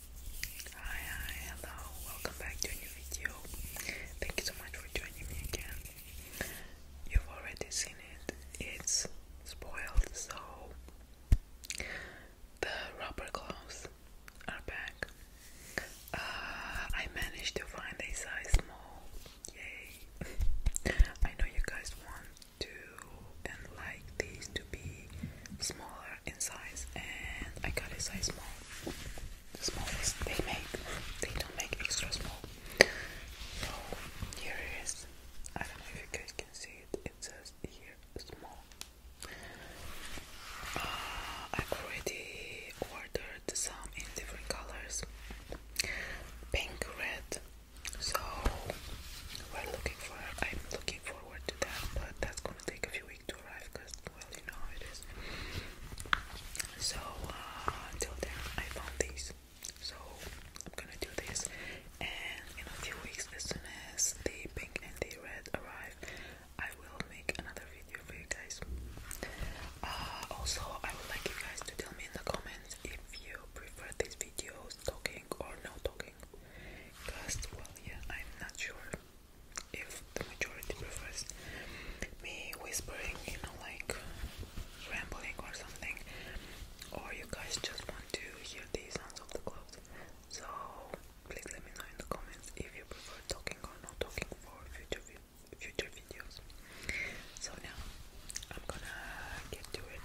Hi, hi, hello, welcome back to a new video. Thank you so much for joining me again. You've already seen it, it's spoiled, so the rubber gloves are back. Uh, I managed to find a size small, yay! I know you guys want to and like these to be smaller in size, and I got a size small. The smallest they make, they don't make extra small. So here it is. I don't know if you guys can see it. It says here small. Uh, i already ordered some in different colors, pink, red. So we're looking for. I'm looking for forward to that, but that's gonna take a few weeks to arrive because, well, you know how it is. So, uh, until then, I found these. So, I'm gonna do this, and in a few weeks, as soon as the pink and the red arrive, I will make another video for you guys. Uh, also, I would like you guys to tell me in the comments if you prefer these videos talking or not talking cooking well yeah I'm not sure if the majority prefers me whispering you know like rambling or something or you guys just want to hear the sounds of the clothes so please let me know in the comments if you prefer talking or not talking for future future videos so now I'm gonna get to it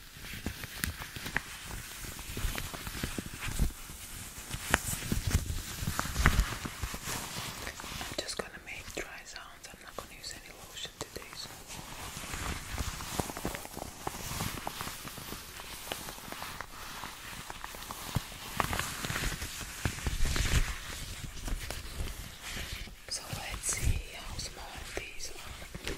I'm just gonna make dry sounds. I'm not gonna use any lotion today, so. So let's see how small these are.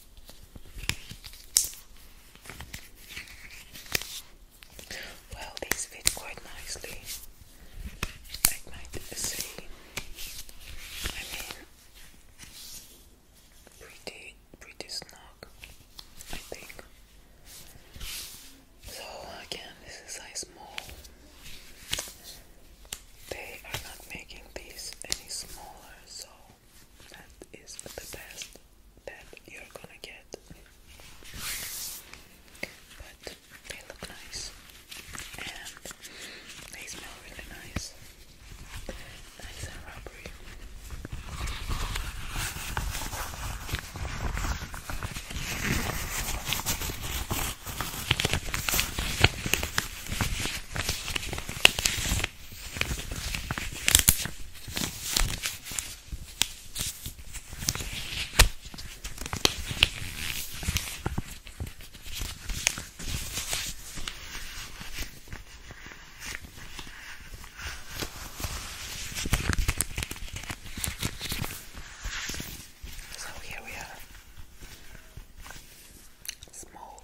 Well, these fit quite nicely. I might say, I mean, pretty, pretty snug, I think. So again, this is size small. They are not making these any smaller, so that is the best that you're gonna get. But they look nice and they smell really nice. Nice and rubbery. So here we are. Small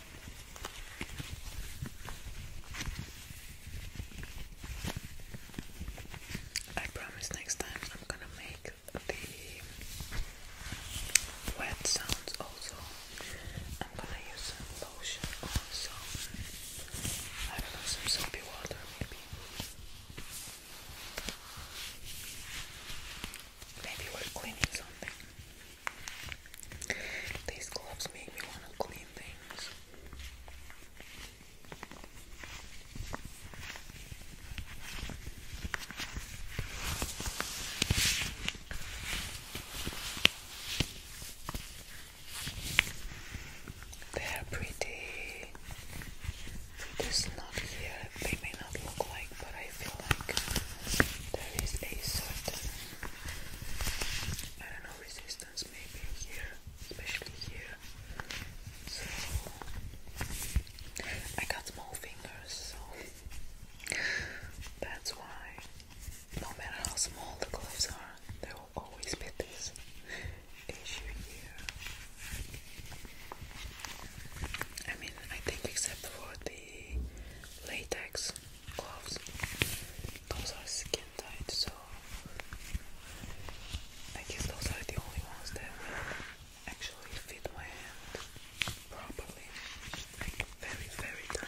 I promise next time I'm gonna make the wet sounds also. I'm gonna use some lotion also. I don't know, some soapy water maybe. Maybe we're cleaning something. These gloves make me want to clean things. They're pretty. This not here. They may not look like, but I feel like there is a certain I don't know, resistance maybe here, especially here. So I got small fingers, so that's why no matter how small the gloves are, they will always be this issue here. I mean, I think except for the latex, gloves. Those are skin tight, so I guess those are the only ones that will actually fit my hand properly. very, very tight.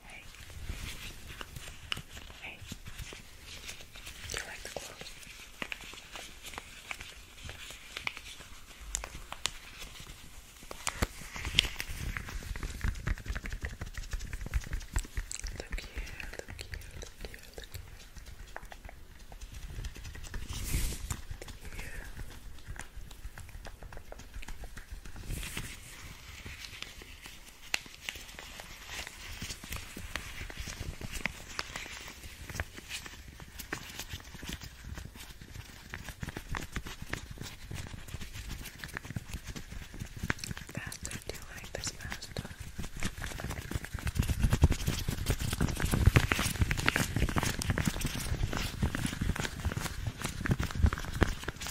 Hey. Hey. Do you like the clothes? Look here, look here, look here, look here. Here. Bats, I do like this pasta.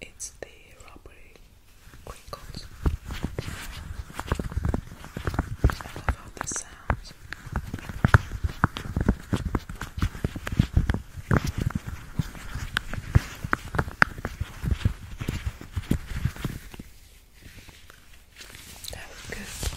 It's the Robbery Crinkles. I love how this sounds. That was good.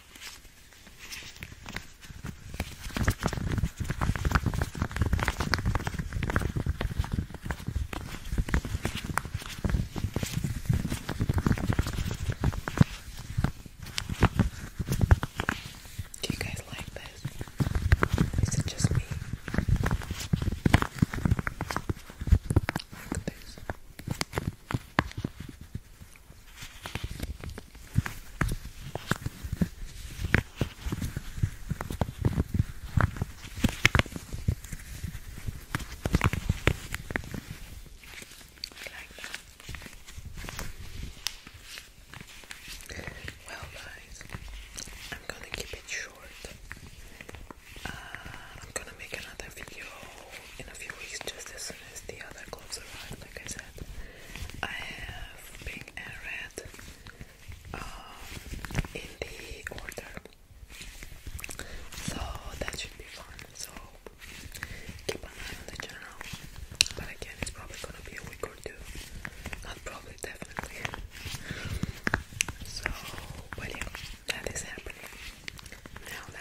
Do you guys like this? Is it just me? Like this. Well, guys, I'm gonna keep it short. Uh, I'm gonna make another video in a few weeks just as soon as the other clothes arrive, like I said. I have pink and red in the order. So that should be fun. So keep an eye on the channel. But again, it's probably gonna be a week or two. Not probably, definitely. So, but that is happening. Now,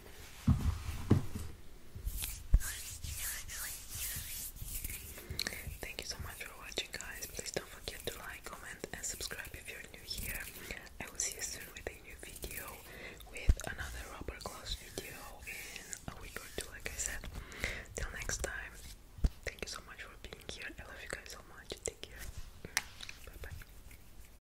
Thank you so much for watching, guys. Please don't forget to like, comment, and subscribe if you're new here. I will see you soon with a new video, with another rubber gloves video in a week or two, like I said. Till next time, thank you so much for being here. I love you guys so much. Take care. Mm. Bye bye.